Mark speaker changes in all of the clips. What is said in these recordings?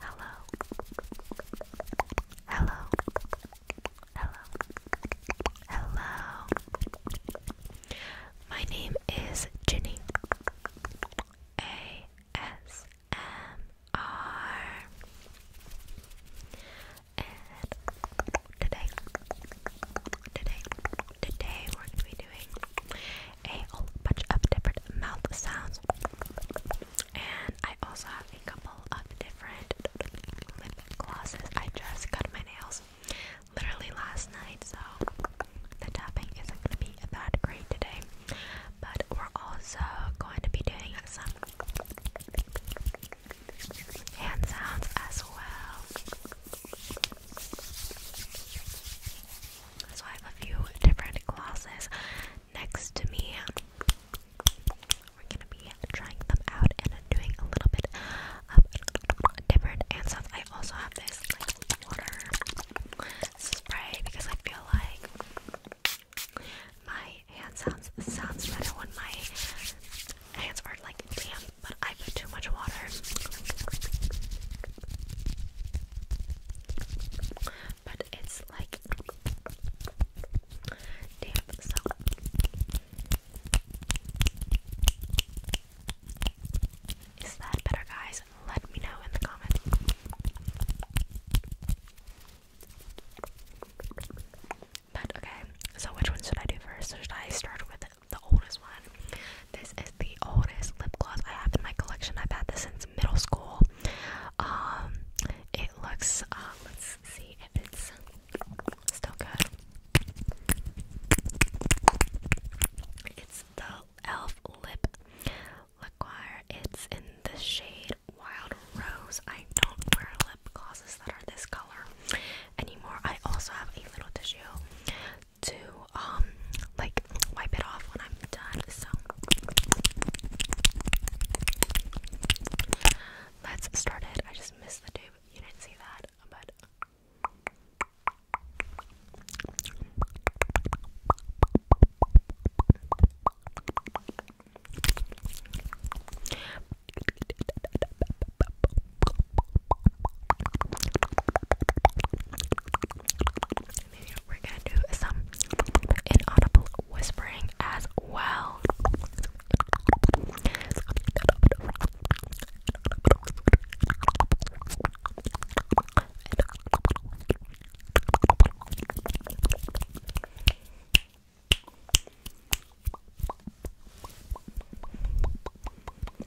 Speaker 1: Hello. Hello. Hello. Hello. My name is Ginny. A S M R. And today today, today we're going to be doing a bunch of different mouth sounds, and I also have a couple of different lip glosses. I just cut my nails literally last night, so the tapping isn't going to be that great today. But we're also going to be doing some hand sounds as well. So I have a few different glosses next to me. We're gonna be trying them out and doing a little bit of different answers. I also have this like water spray because I feel like my hand sounds sounds better when my hands are like damp but I put too much water. But it's like damp, so is that better, guys? Let me know in the comments. But okay, so which one should I do first? Should I start with the oldest one. This is the oldest lip gloss I have in my collection. I've had this since middle school. Um, it looks. Uh, let's see if it's still good. It's the Elf Lip Liquire. It's in the shade Wild Rose. I don't wear lip glosses that are this color anymore. I also have a little tissue to um like wipe it off when I'm done. So let's start it. I just missed the tube. You didn't see that, but we're gonna do some inaudible whispering as well.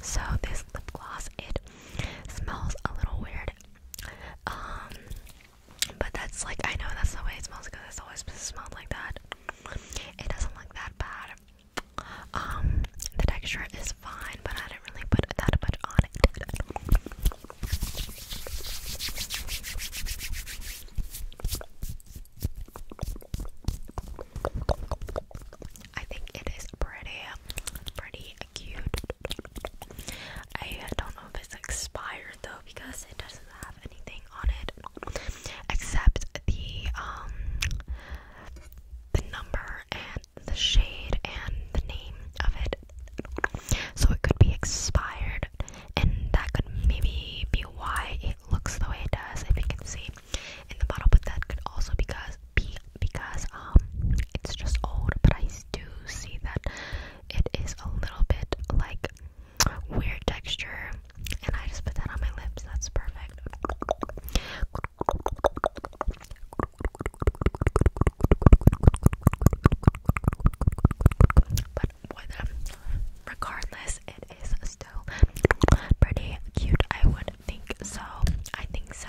Speaker 1: So this lip gloss, it smells a little weird. Um but that's like I know that's the way it smells because it's always smelled like that. It doesn't look that bad. Um, the texture is fine, but I didn't really put that much on it. I think it is pretty, pretty cute. I don't know if it's expired though because it doesn't have anything on it except the um the number and the shade and the name of it. So it could be expired and that could maybe be why it looks the way it does if you can see in the bottle, but that could also because be because um it's just old, but I do see that it is a little bit like weird texture, and I just put that on my lips. That's perfect. But Regardless, it is still pretty cute. I would think so. I think so.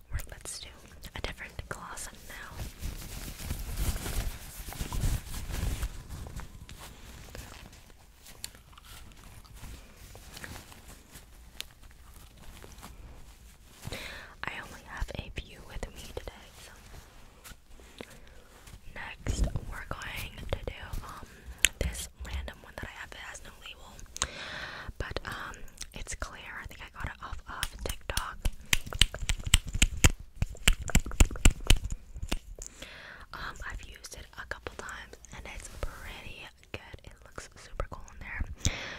Speaker 1: let's do a different glossum now. I only have a few with me today, so next we're going to do um, this random one that I have that has no label. But um it's clear. I think I got it off of TikTok. Um, I've used it a couple times and it's pretty good. It looks super cool in there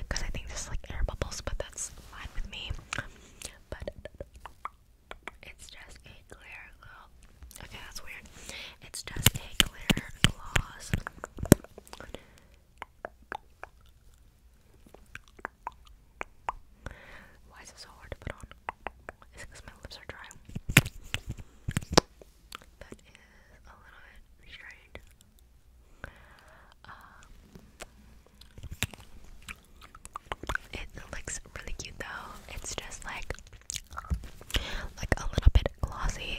Speaker 1: because I think this like air bubbles, but that's fine with me. But it's just a clear glow. Okay, that's weird. It's just a clear gloss. Why is it so hard to put on? Is because my lips are dry? That is a little bit strange. Um, it looks really cute though. It's just like like a little bit glossy.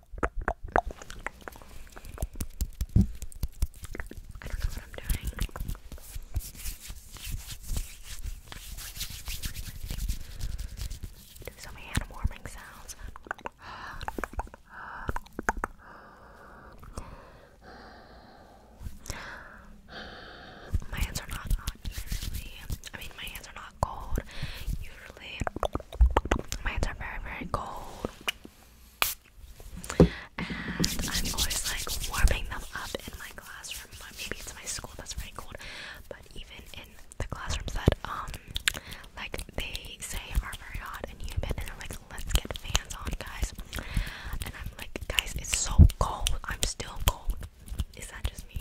Speaker 1: I don't know what I'm doing. Do so many hand sounds. My hands are not hot usually. I mean, my hands are not cold. Usually my hands are very very cold and I'm always like warming them up in my classroom but maybe it's my school that's very cold but even in the classrooms that um like they say are very hot and humid and they're like let's get fans on guys and I'm like guys it's so cold I'm still cold is that just me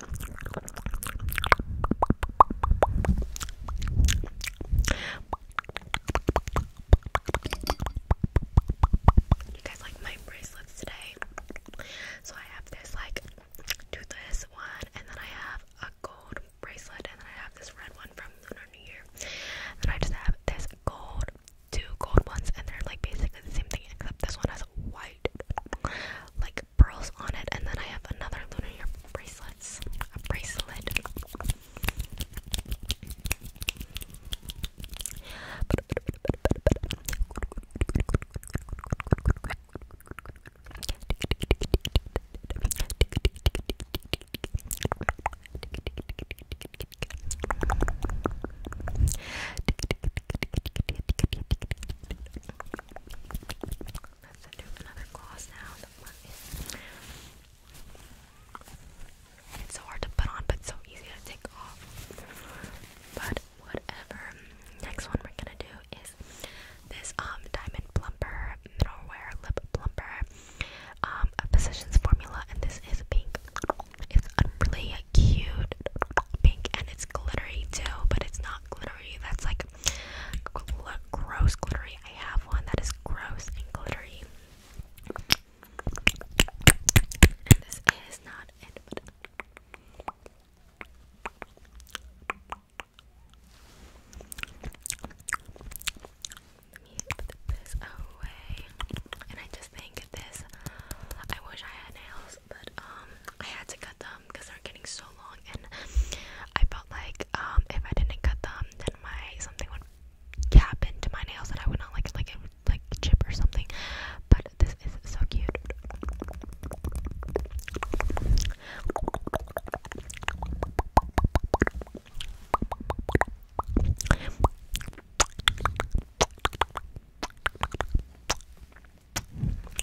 Speaker 1: You guys like my bracelets today? So I have this like this one, and then I have a gold bracelet, and then I have this red one from Lunar New Year. And then I just have this gold, two gold ones, and they're like basically the same thing, except this one has white, like pearls on it, and then I have another lunar ear bracelets. A bracelet. Let's do another gloss now. It's so hard to put on, but so easy to take off. But whatever. Next one we're gonna do is this um diamond plumper middleware lip plumper um a positions formula, and this is pink. It's really cute pink, and it's glittery too, but it's not glittery. That's like Gl gross glittery. I have one that is gross and glittery. And this is not put this away. And I just think this. I wish I had nails, but um, I had to cut them because um, they're getting so long, and I felt like um, if I didn't cut them, then my something would happen to my nails that I would not like, like like chip or something. But this is so cute.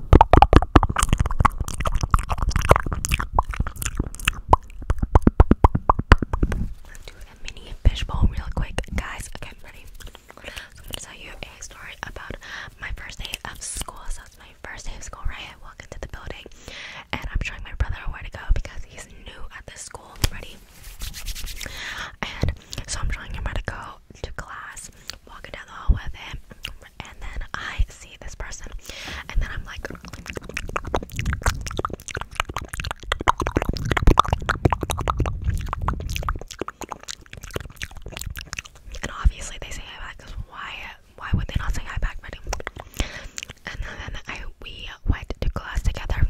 Speaker 1: Let's do a mini fishbowl real quick, guys. Okay, I'm ready. So I'm gonna tell you a story about my first day of school. So it's my first day of school, right? I walk into the building and I'm showing my brother where to go because he's new at this school. Ready? And so I'm showing him where to go to class, walking down the hall with him and then I see this person, and then I'm like, and obviously they say hi back because why? Why would they not say hi back, And then I we went to class together.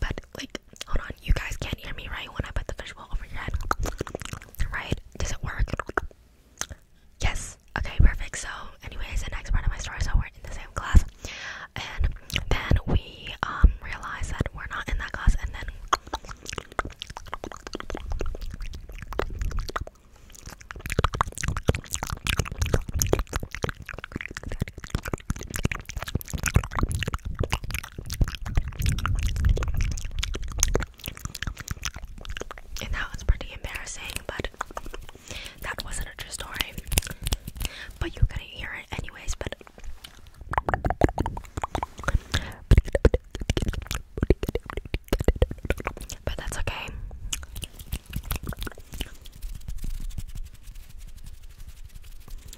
Speaker 1: But like Hold on, you guys can't hear me, right? When I put the fishbowl over your head, right? Does it work? Yes. Okay, perfect. So, anyways, the next part of my story. So we're in the same class, and then we um, realize that we're not in that class, and then. And that was pretty embarrassing, but that wasn't a true story. But you couldn't hear it anyways, but but that's okay.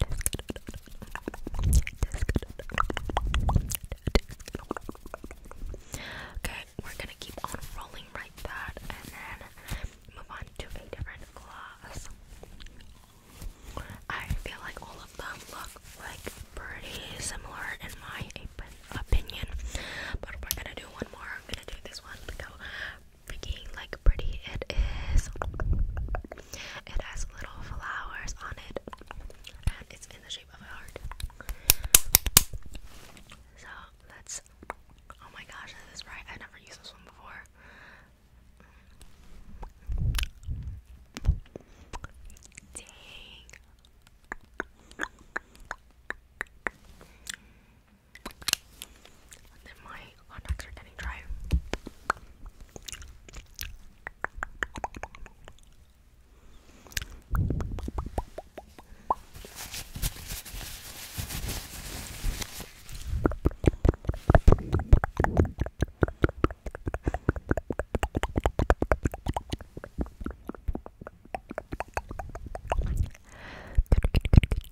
Speaker 1: Okay, we're gonna keep on rolling like that and then move on to a different gloss. I feel like all of them look like pretty similar in my opinion, but we're gonna do one more. I'm gonna do this one to go freaking like pretty it is. It has little flowers on it, and it's in the shape of a heart. So let's. Oh my gosh, this is I never used this one before. Dang. Then my contacts are getting dry. Good, good, good,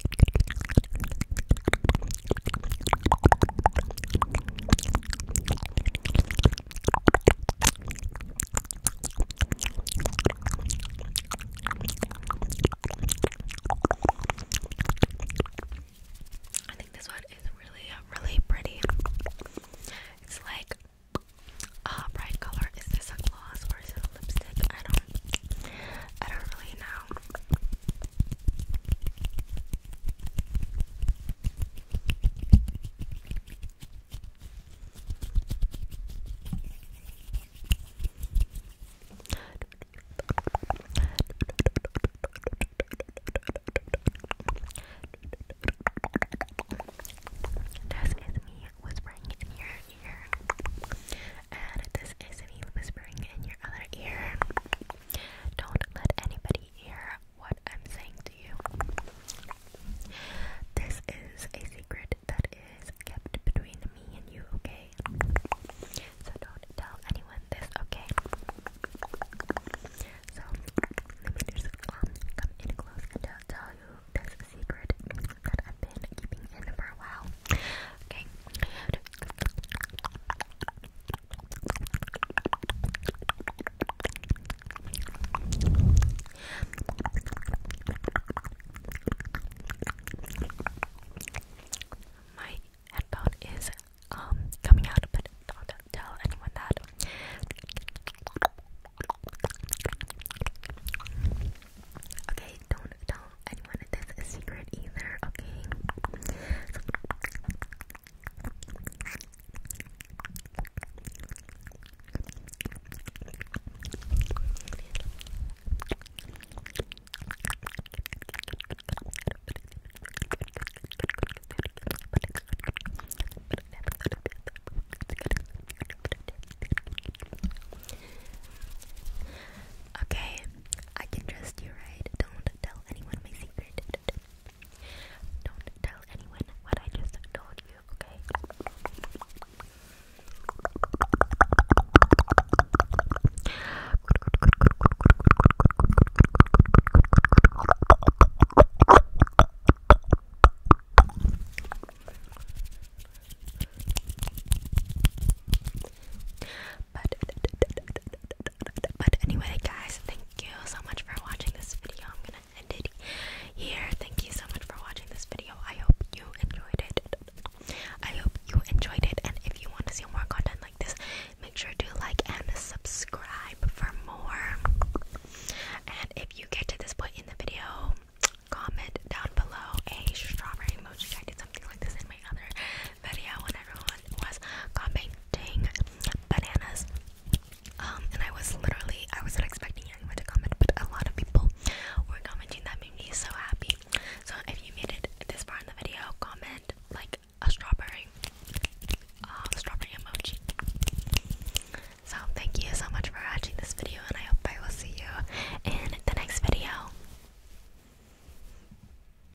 Speaker 1: I think this one is really, uh, really pretty. It's like a uh, bright color. Is this a gloss or is it a lipstick? I don't, I don't really know. This is me whispering in your ear, and this is me whispering in your other ear. Don't let anybody hear what I'm saying to you. This is a secret that is kept between me and you, okay? So don't tell anyone this, okay? So let me just um, come in close and I'll tell you this secret that I've been keeping in for a while. Okay. My headphone is um coming out, but don't tell anyone that. Okay, don't tell didn't want a secret either, okay? Okay, I can trust you, right? Don't tell anyone my secret. Don't tell anyone what I just told you, okay? But, but anyway, guys, thank you so much for watching this video. I'm gonna end it here. Thank you so much for watching this video. I hope you enjoyed it. I hope you enjoyed it. And if you want to see more content like this, make sure to like and subscribe for more. And if you get to this point in the video, comment down below a strawberry emoji. I did something like this in my other video when everyone was commenting bananas. Um, and I was literally, I wasn't expecting anyone to comment, but a lot of people were commenting. That made me so happy. So if you made it this far in the video, comment like a strawberry, um, strawberry emoji. So thank you so much for watching this video, and I hope I will see you in the next video.